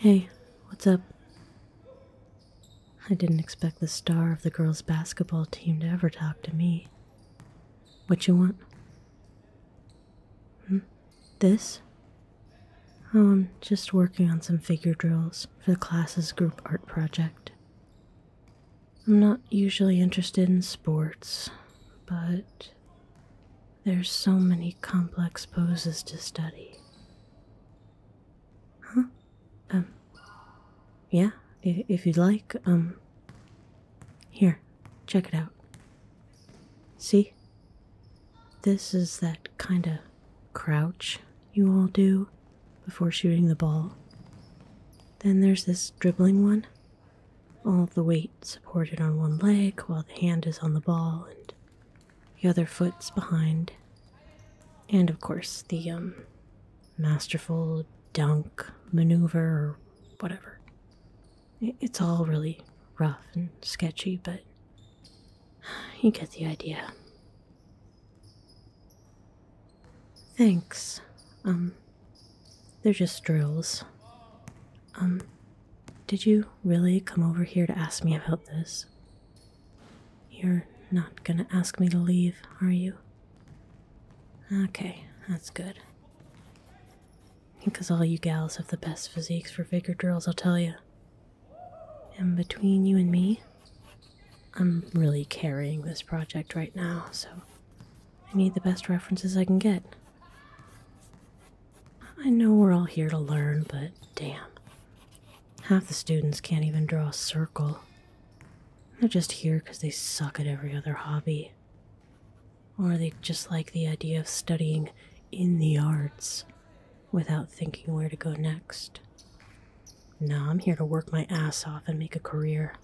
Hey, what's up? I didn't expect the star of the girls' basketball team to ever talk to me. What you want? Hmm? This? Oh, I'm just working on some figure drills for the class's group art project. I'm not usually interested in sports, but there's so many complex poses to study. Huh? Um, yeah, if you'd like, um, here, check it out. See? This is that kind of crouch you all do before shooting the ball. Then there's this dribbling one. All the weight supported on one leg while the hand is on the ball and the other foot's behind. And of course, the um masterful dunk maneuver or whatever. It's all really rough and sketchy, but you get the idea. Thanks. Um, they're just drills. Um, did you really come over here to ask me about this? You're not gonna ask me to leave, are you? Okay, that's good. Because all you gals have the best physiques for figure drills, I'll tell you. And between you and me, I'm really carrying this project right now, so I need the best references I can get. I know we're all here to learn, but damn. Half the students can't even draw a circle, they're just here because they suck at every other hobby. Or they just like the idea of studying in the arts without thinking where to go next. No, I'm here to work my ass off and make a career.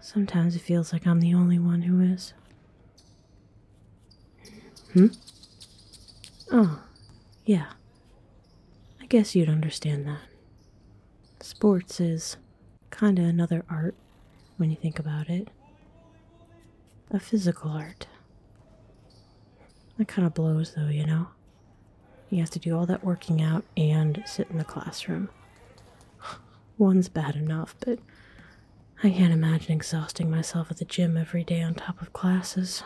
Sometimes it feels like I'm the only one who is. Hmm? Oh, yeah. I guess you'd understand that. Sports is kinda another art when you think about it. A physical art. That kinda blows though, you know? You have to do all that working out and sit in the classroom. One's bad enough, but I can't imagine exhausting myself at the gym every day on top of classes.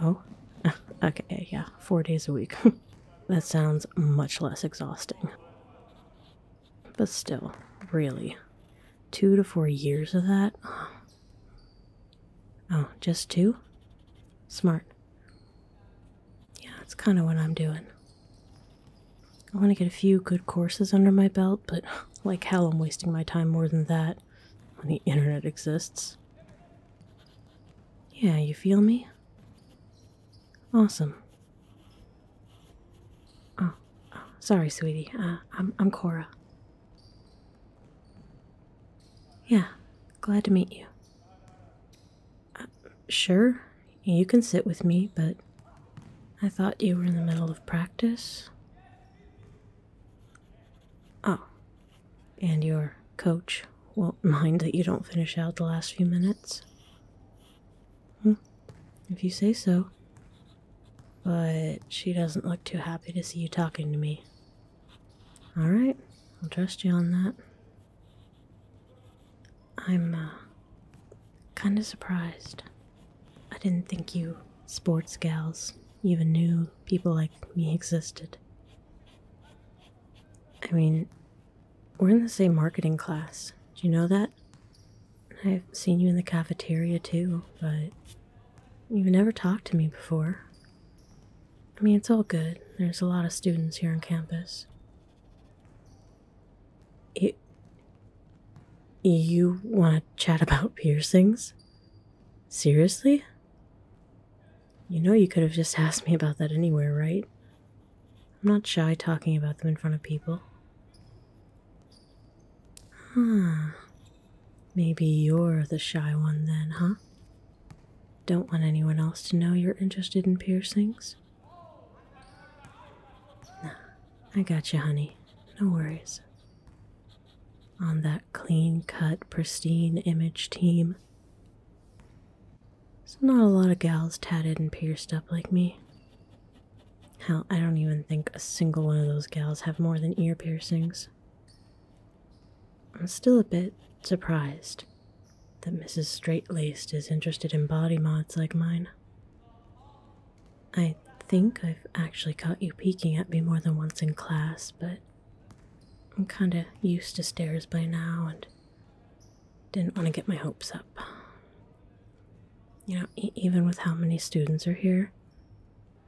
Oh, okay, yeah, four days a week. that sounds much less exhausting. But still, really, two to four years of that? Oh, just two? Smart. Yeah, that's kind of what I'm doing. I want to get a few good courses under my belt, but like hell, I'm wasting my time more than that when the internet exists. Yeah, you feel me? Awesome. Oh, oh sorry, sweetie. Uh, I'm I'm Cora. Yeah, glad to meet you. Uh, sure, you can sit with me, but I thought you were in the middle of practice. Oh, and your coach won't mind that you don't finish out the last few minutes? Hmm. if you say so. But she doesn't look too happy to see you talking to me. Alright, I'll trust you on that. I'm, uh, kinda surprised. I didn't think you sports gals even knew people like me existed. I mean, we're in the same marketing class. Do you know that? I've seen you in the cafeteria too, but you've never talked to me before. I mean, it's all good. There's a lot of students here on campus. It. You want to chat about piercings? Seriously? You know you could have just asked me about that anywhere, right? I'm not shy talking about them in front of people. Huh. Maybe you're the shy one then, huh? Don't want anyone else to know you're interested in piercings? Nah, I got you, honey. No worries. On that clean cut, pristine image team. There's not a lot of gals tatted and pierced up like me. Hell, I don't even think a single one of those gals have more than ear piercings. I'm still a bit surprised that Mrs. Straight Laced is interested in body mods like mine. I think I've actually caught you peeking at me more than once in class, but I'm kinda used to stares by now and didn't want to get my hopes up. You know, even with how many students are here,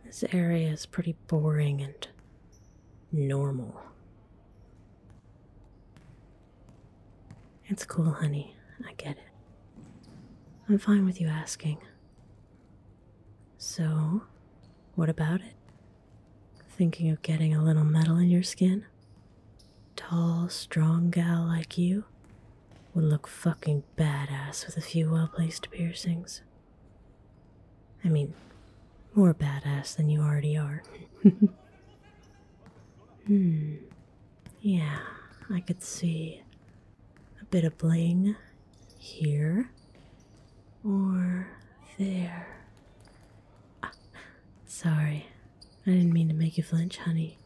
this area is pretty boring and normal. It's cool, honey. I get it. I'm fine with you asking. So, what about it? Thinking of getting a little metal in your skin? Tall, strong gal like you would look fucking badass with a few well placed piercings. I mean, more badass than you already are. hmm. Yeah, I could see a bit of bling here or there. Ah, sorry, I didn't mean to make you flinch, honey.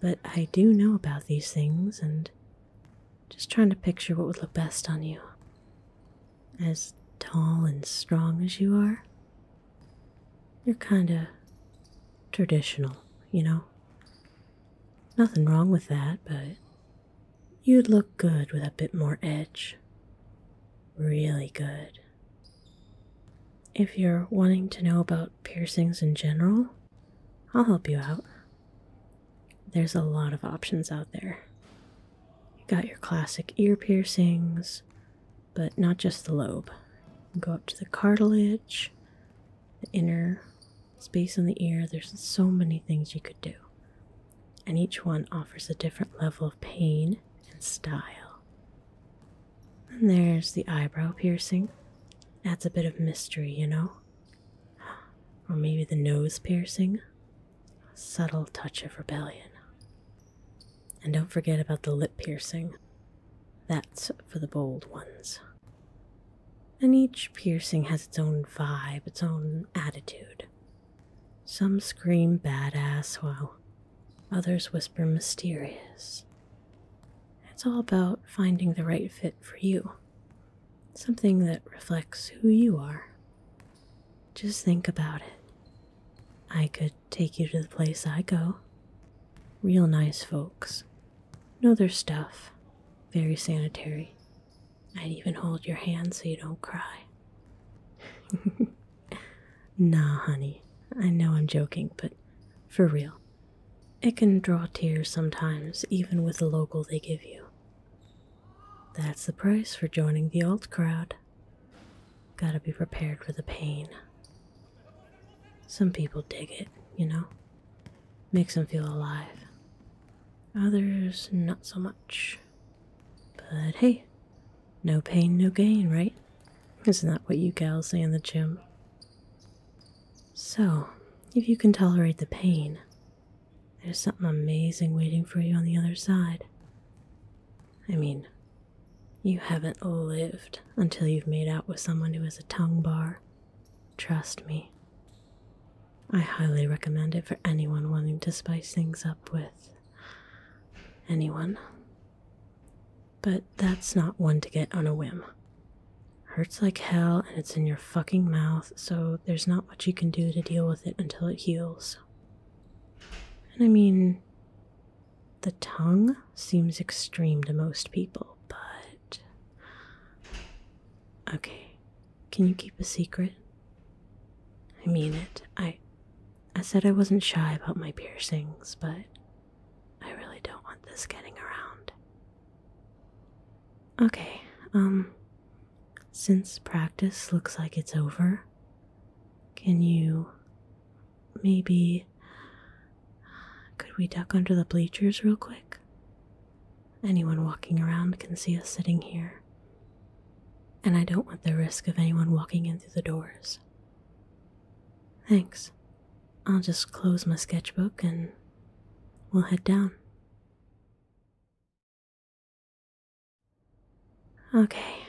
But I do know about these things and just trying to picture what would look best on you. As tall and strong as you are, you're kinda traditional, you know? Nothing wrong with that, but you'd look good with a bit more edge. Really good. If you're wanting to know about piercings in general, I'll help you out. There's a lot of options out there. You got your classic ear piercings, but not just the lobe. Go up to the cartilage, the inner space in the ear. There's so many things you could do, and each one offers a different level of pain and style. And there's the eyebrow piercing. Adds a bit of mystery, you know? Or maybe the nose piercing. subtle touch of rebellion. And don't forget about the lip piercing. That's for the bold ones. And each piercing has its own vibe, its own attitude. Some scream badass while others whisper mysterious. It's all about finding the right fit for you, something that reflects who you are. Just think about it. I could take you to the place I go. Real nice folks. Know their stuff. Very sanitary. I'd even hold your hand so you don't cry. nah, honey. I know I'm joking, but for real. It can draw tears sometimes, even with the local they give you. That's the price for joining the alt crowd. Gotta be prepared for the pain. Some people dig it, you know? Makes them feel alive. Others, not so much. But hey, no pain, no gain, right? Isn't that what you gals say in the gym? So, if you can tolerate the pain, there's something amazing waiting for you on the other side. I mean, you haven't lived until you've made out with someone who has a tongue bar. Trust me. I highly recommend it for anyone wanting to spice things up with anyone. But that's not one to get on a whim. Hurts like hell and it's in your fucking mouth, so there's not much you can do to deal with it until it heals. And I mean, the tongue seems extreme to most people, but. Okay, can you keep a secret? I mean it. I. I said I wasn't shy about my piercings, but I really don't want this getting around. Okay, um, since practice looks like it's over, can you maybe. Could we duck under the bleachers real quick? Anyone walking around can see us sitting here. And I don't want the risk of anyone walking in through the doors. Thanks. I'll just close my sketchbook and we'll head down. Okay,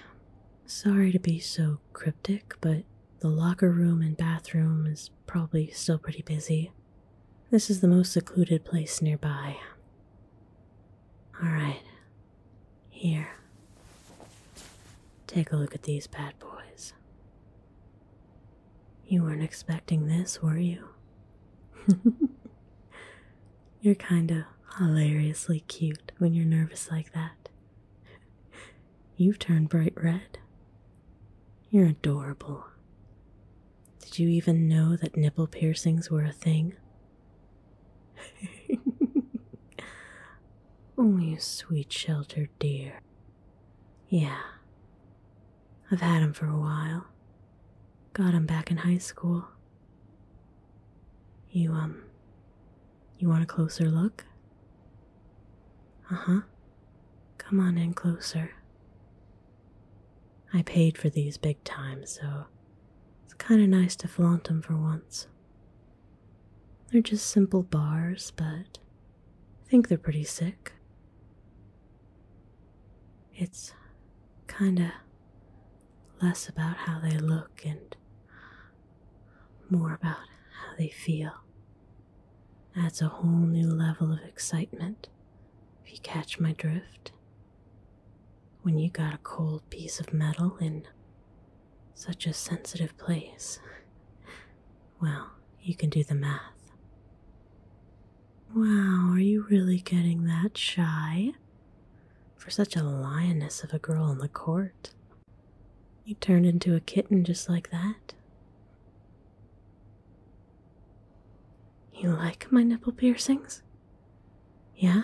sorry to be so cryptic, but the locker room and bathroom is probably still pretty busy. This is the most secluded place nearby. Alright, here. Take a look at these bad boys. You weren't expecting this, were you? You're kinda hilariously cute when you're nervous like that. You've turned bright red. You're adorable. Did you even know that nipple piercings were a thing? oh, you sweet sheltered dear. Yeah. I've had had 'em for a while. Got Got 'em back in high school. You, um, you want a closer look? Uh huh. Come on in closer. I paid for these big time, so it's kind of nice to flaunt them for once. They're just simple bars, but I think they're pretty sick. It's kinda less about how they look and more about how they feel. Adds a whole new level of excitement, if you catch my drift. When you got a cold piece of metal in such a sensitive place, well, you can do the math. Wow, are you really getting that shy? For such a lioness of a girl in the court. You turned into a kitten just like that. You like my nipple piercings? Yeah?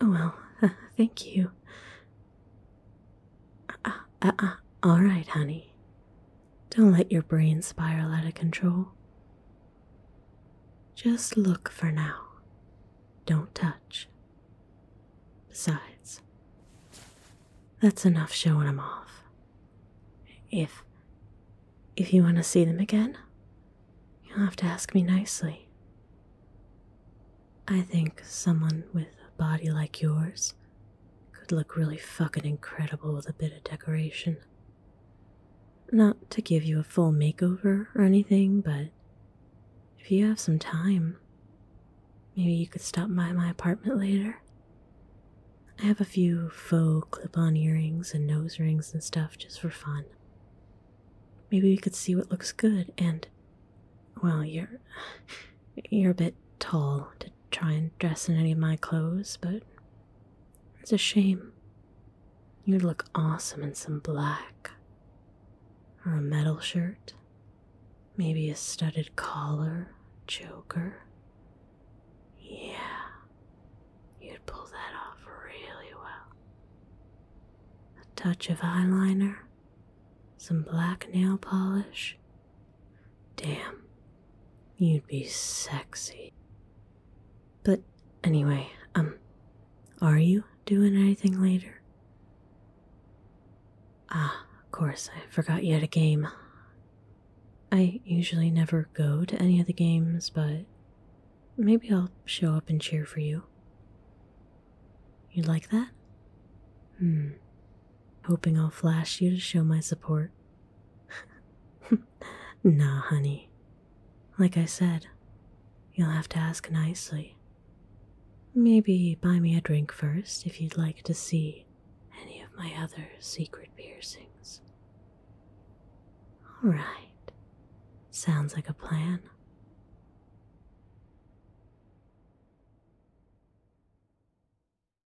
Oh well, thank you. Uh, uh, uh, all right, honey. Don't let your brain spiral out of control. Just look for now. Don't touch. Besides, that's enough showing them off. If if you want to see them again, you'll have to ask me nicely. I think someone with a body like yours could look really fucking incredible with a bit of decoration. Not to give you a full makeover or anything, but if you have some time, maybe you could stop by my apartment later. I have a few faux clip on earrings and nose rings and stuff just for fun. Maybe we could see what looks good and well, you're you're a bit tall to try and dress in any of my clothes, but it's a shame. You'd look awesome in some black. Or a metal shirt. Maybe a studded collar, Joker. Yeah, you'd pull that off really well. A touch of eyeliner, some black nail polish. Damn, You'd be sexy. But anyway, um, are you doing anything later? Ah, of course, I forgot you had a game. I usually never go to any of the games, but maybe I'll show up and cheer for you. You'd like that? Hmm. Hoping I'll flash you to show my support. nah, honey. Like I said, you'll have to ask nicely. Maybe buy me a drink first if you'd like to see any of my other secret piercings. All right. Sounds like a plan.